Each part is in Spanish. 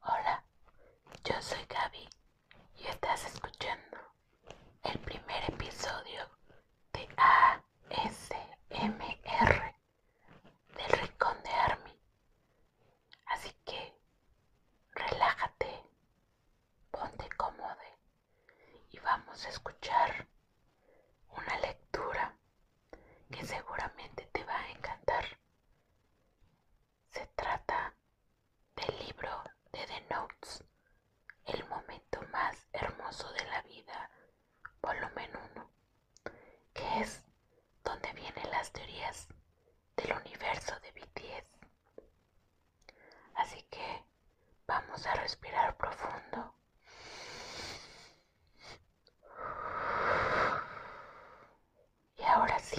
Hola, yo soy Gaby y estás escuchando el primer episodio de ASMR del Rincón de Army. Así que relájate, ponte cómodo y vamos a escuchar una lectura que seguramente te va a encantar. Se trata del libro de The Notes, El momento más hermoso de la vida, volumen 1, que es donde vienen las teorías del universo de B10. Así que vamos a respirar profundo. Y ahora sí,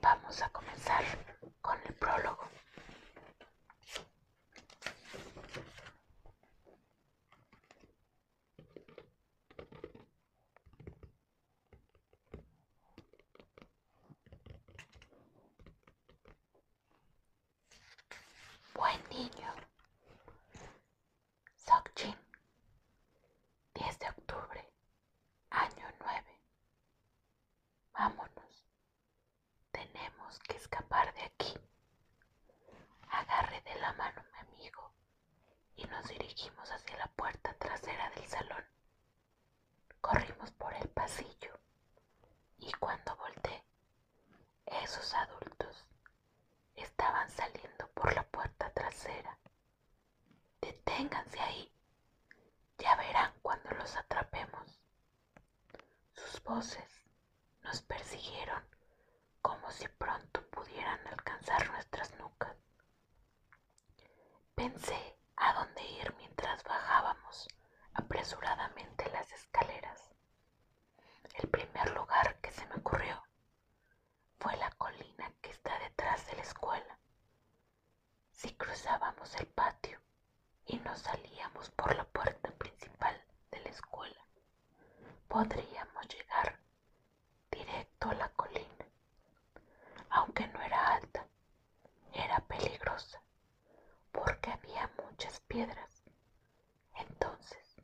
vamos a comenzar con el prólogo. Buen niño, 10 de octubre, año 9. Vámonos. Tenemos que escapar de aquí. Agarré de la mano mi amigo y nos dirigimos hacia la puerta trasera del salón. Corrimos por el pasillo y cuando volteé, esos adultos estaban saliendo por la puerta trasera Deténganse ahí. Ya verán cuando los atrapemos. Sus voces nos persiguieron como si pronto pudieran alcanzar nuestras nucas. Pensé a dónde ir mientras bajábamos apresuradamente las escaleras. El primer lugar que se me ocurrió fue la colina que está detrás de la escuela. Si cruzábamos el patio y nos salíamos por la puerta principal de la escuela, podríamos llegar directo a la colina. Aunque no era alta, era peligrosa porque había muchas piedras. Entonces,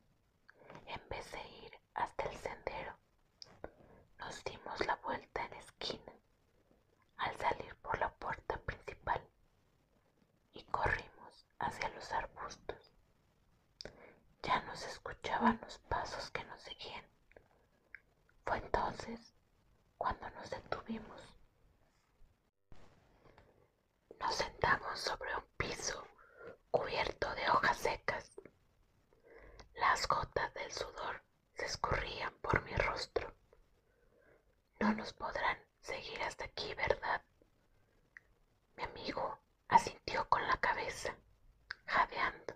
en vez de ir hasta el sendero. Nos dimos la vuelta en esquina al salir por la puerta principal y corrimos hacia los arbustos. Ya nos escuchaban los pasos que nos seguían. Fue entonces cuando nos detuvimos. Nos sentamos sobre un piso cubierto de hojas secas las gotas del sudor se escurrían por mi rostro. No nos podrán seguir hasta aquí, ¿verdad? Mi amigo asintió con la cabeza, jadeando.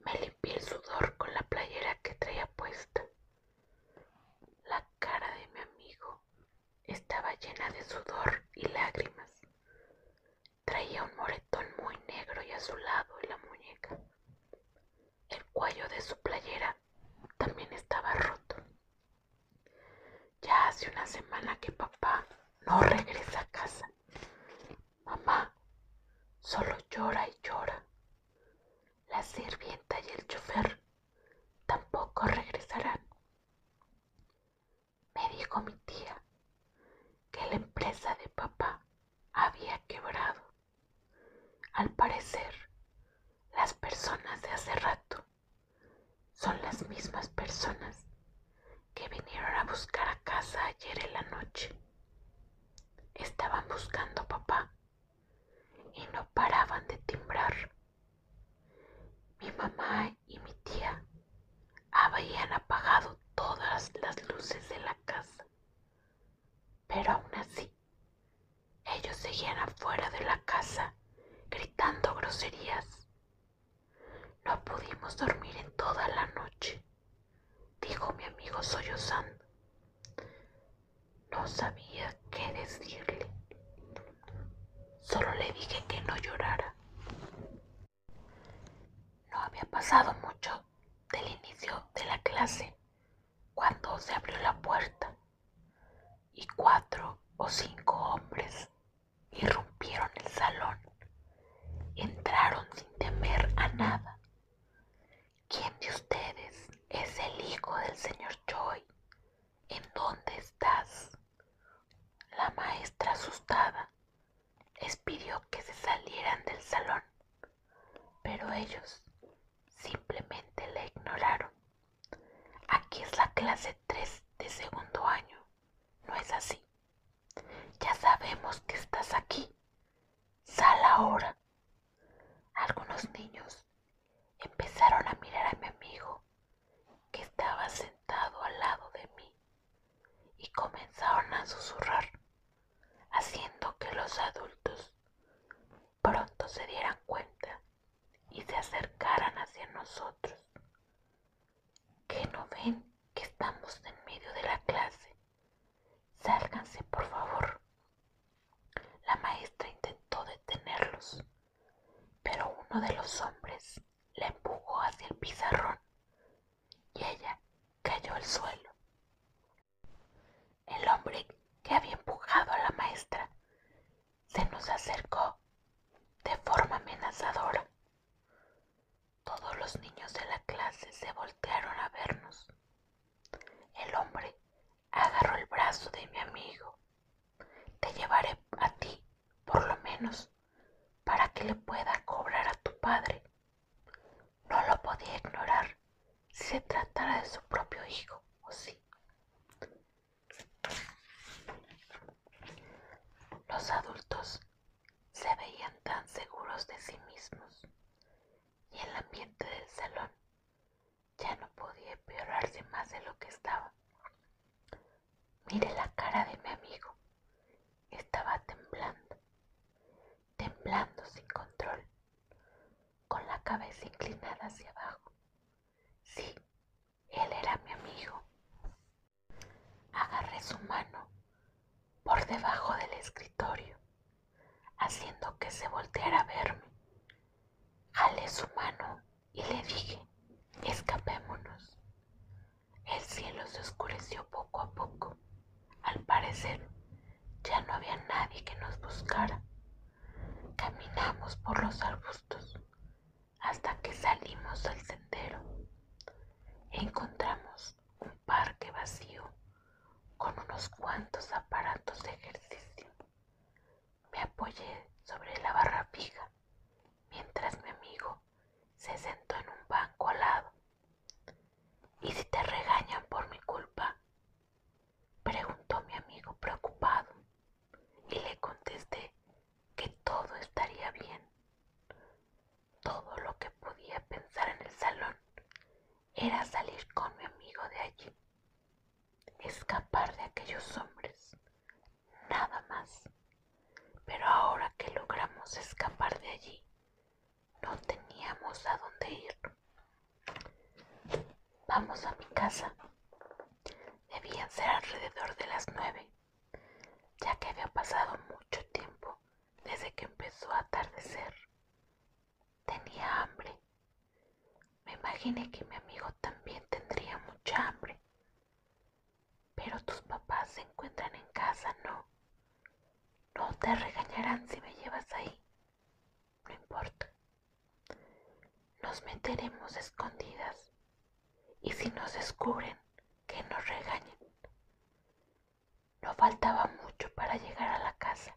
Me limpié el sudor con la playera que traía puesta. La cara de mi amigo estaba llena de sudor y lágrimas. Traía un moretón muy negro y azulado en la muñeca. El cuello de su playera también estaba roto. Ya hace una semana que papá no regresa a casa. Mamá solo llora y llora. La sirvienta y el chofer tampoco regresarán me dijo mi tía que la empresa de papá había quebrado. Al parecer, las personas de hace rato son las mismas personas que vinieron a buscar a casa ayer en la noche. Estaban buscando papá y no paraban de timbrar. Mi mamá y mi tía habían apagado todas las luces de la casa, pero aún así ellos seguían afuera de la casa gritando groserías. No pudimos dormir en toda la noche, dijo mi amigo sollozando. No sabía qué decirle. Solo le dije que no llorara. No había pasado mucho del inicio de la clase cuando se abrió la puerta y cuatro o cinco hombres irrumpieron el salón. Entraron sin temer a nada. ¿Quién de ustedes es el hijo del señor Joy? ¿En dónde estás? La maestra asustada les pidió que se salieran del salón, pero ellos simplemente le ignoraron. Aquí es la clase 3 de segundo año, ¿no es así? Ya sabemos que estás aquí. Sal ahora. Algunos niños empezaron a mirar a mi amigo que estaba sentado al lado de mí y comenzaron a susurrar, haciendo que los adultos pronto se dieran cuenta y se acercaran hacia nosotros. ¿Que no ven que estamos en medio de la clase? Sálganse, por favor. La maestra intentó detenerlos, pero uno de los hombres la empujó hacia el pizarrón y ella cayó al suelo. El hombre que había empujado a la maestra se nos acercó de forma amenazadora. Todos los niños de la clase se voltearon a vernos. El hombre agarró el brazo de mi amigo. Te llevaré a ti, por lo menos, para que le pueda cobrar a tu padre. No lo podía ignorar si se tratara de su propio hijo, ¿o sí? Los adultos se veían tan seguros de sí mismos y el ambiente del salón ya no podía empeorarse más de lo que estaba. Mire la cara de mi amigo, estaba temblando, temblando sin control, con la cabeza inclinada hacia abajo. Sí, él era mi amigo. Agarré su mano por debajo del escritorio, haciendo que se volteara a verme. Jalé su mano y le dije, escapémonos. El cielo se oscureció poco a poco. Al parecer, ya no había nadie que nos buscara. Caminamos por los arbustos hasta que salimos al sendero. Encontramos un parque vacío con unos cuantos aparatos de ejercicio. Me apoyé sobre la barra fija mientras mi amigo se sentó en un banco al lado. ¿Y si te regañan por mi culpa? Preguntó mi amigo preocupado y le contesté que todo estaría bien. Todo lo que podía pensar en el salón era salir con mi amigo de allí, escapar de aquellos hombres, nada más. Pero ahora que logramos escapar de allí, no teníamos a dónde ir. Vamos a mi casa. Debían ser alrededor de las nueve, ya que había pasado mucho tiempo desde que empezó a atardecer. Tenía hambre. Me imaginé que mi amigo también tendría mucha hambre. Pero tus papás se encuentran en casa, ¿no? No te regañarán si me llevas ahí. No importa. Nos meteremos escondidas. Y si nos descubren, que nos regañen. No faltaba mucho para llegar a la casa,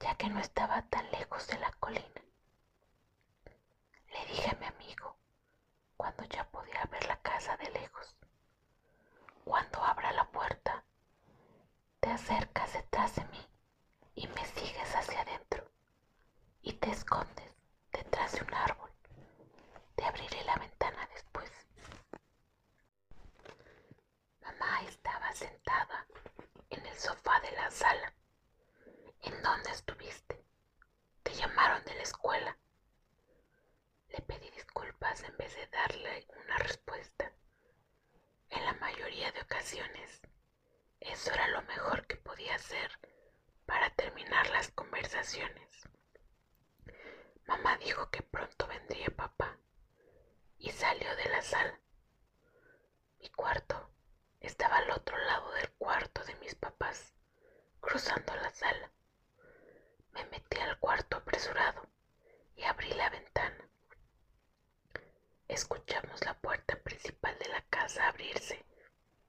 ya que no estaba tan lejos de la colina. Le dije a mi amigo cuando ya podía ver la casa de lejos. Cuando abra la puerta, te acercas detrás de mí y me sigues hacia adentro y te escondes detrás de un árbol. Te abriré la ventana después. Mamá estaba sentada en el sofá de la sala. ¿En dónde estuviste? Te llamaron de la escuela. Le pedí disculpas en vez de darle una respuesta. En la mayoría de ocasiones, eso era lo mejor que podía hacer para terminar las conversaciones. Mamá dijo que pronto vendría papá y salió de la sala. Mi cuarto estaba al otro lado del cuarto de mis papás, cruzando la sala. Me metí al cuarto apresurado y abrí la ventana. Escuchamos la puerta principal de la casa abrirse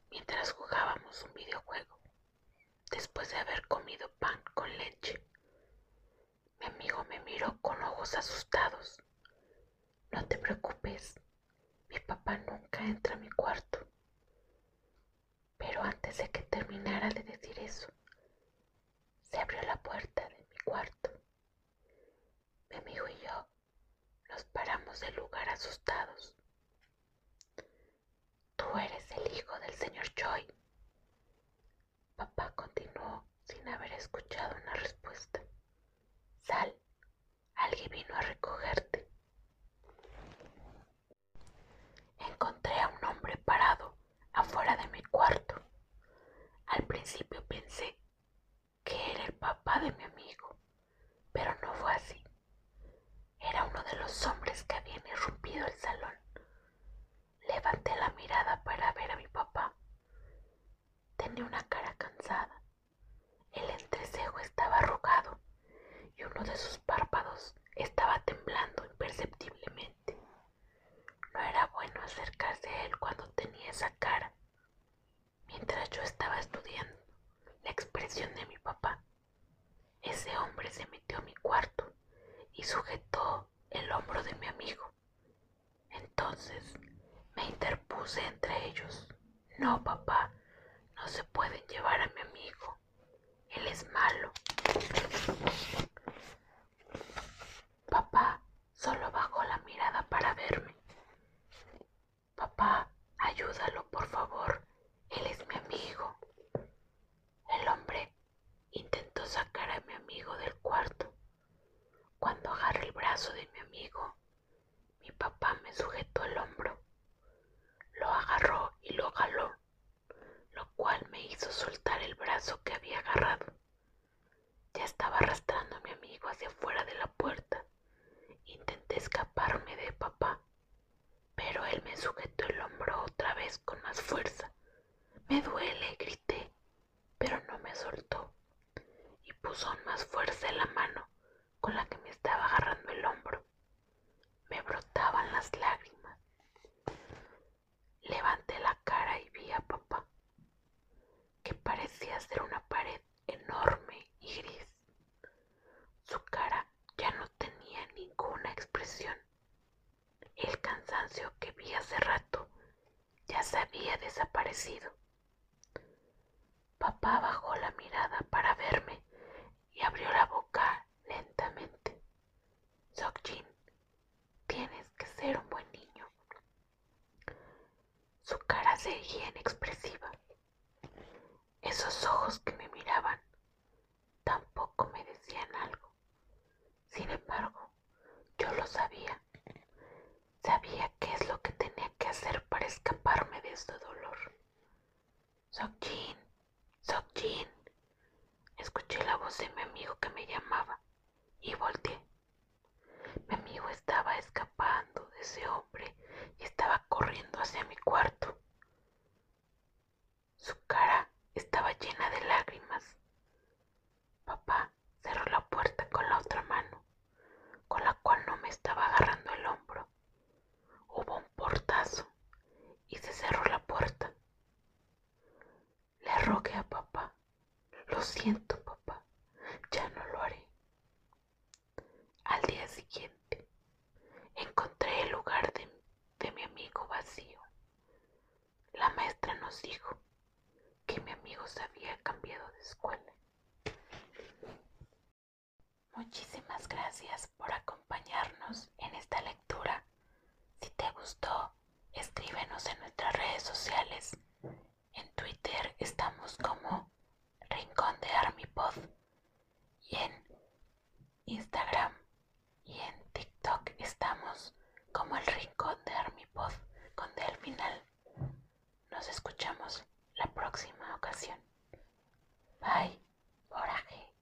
mientras jugábamos un videojuego, después de haber comido pan con leche. Mi amigo me miró con ojos asustados. No te preocupes, mi papá nunca entra a mi cuarto. Pero antes de que terminara de decir eso, se abrió la puerta de mi cuarto. Mi amigo y yo nos paramos del lugar asustados. Tú eres el hijo del señor Choi. Papá continuó sin haber escuchado una respuesta. Sal, alguien vino a recogerte. Encontré a un hombre parado afuera de mi cuarto. Al principio pensé que era el papá de mi amigo, pero no fue así. Era uno de los hombres que habían irrumpido el salón. Levanté la mirada para ver a mi papá. Tenía una cara cansada. El entrecejo estaba arrugado y uno de sus párpados estaba temblando imperceptiblemente. No era bueno acercarse a él cuando tenía esa cara. Mientras yo estaba estudiando la expresión de mi papá, ese hombre se metió a mi cuarto y sujetó el hombro de mi amigo. Entonces me interpuse entre ellos. No, papá, no se pueden llevar a mi amigo él es malo. Papá solo bajó la mirada para verme. Papá, ayúdalo, por favor. Él es mi amigo. El hombre intentó sacar a mi amigo del cuarto. Cuando agarré el brazo de mi amigo, mi papá me sujetó el hombro. Lo agarró y lo jaló lo cual me hizo soltar el brazo que había agarrado. Ya estaba arrastrando a mi amigo hacia fuera de la puerta. Intenté escaparme de papá, pero él me sujetó el hombro otra vez con más fuerza. Me duele, grité, pero no me soltó y puso más fuerza en la mano con la que me estaba agarrando el hombro. Me brotaban las lágrimas. Levanté la cara y vi a papá, que parecía ser una pared enorme y gris. Su cara ya no tenía ninguna expresión. El cansancio que vi hace rato ya se había desaparecido. Papá bajó la mirada para verme y abrió la boca lentamente. Sokjin, tienes que ser un buen niño. Su cara seguía inexpresiva. Esos ojos que me miraban tampoco me decían algo. Sin embargo, yo lo sabía. Sabía qué es lo que tenía que hacer para escaparme de este dolor. Sokjin, Sokjin. Escuché la voz de mi amigo que me llamaba y volteé. Mi amigo estaba escapando de ese hombre y estaba corriendo hacia mi cuarto. Su cara estaba llena de lágrimas. Papá cerró la puerta con la otra mano, con la cual no me estaba agarrando el hombro. Hubo un portazo y se cerró la puerta. Le rogué a papá. Lo siento, papá. Ya no lo haré. Al día siguiente, encontré el lugar de, mi amigo vacío. La maestra nos dijo que mi amigo se había cambiado de escuela. Muchísimas gracias por acompañarnos en esta lectura si te gustó, escríbenos en nuestras redes sociales. En Twitter estamos como Rincón de Armipod y en Instagram y en TikTok estamos como el Rincón de Armipod con Del final. Nos escuchamos la próxima ocasión. Bye, oraje.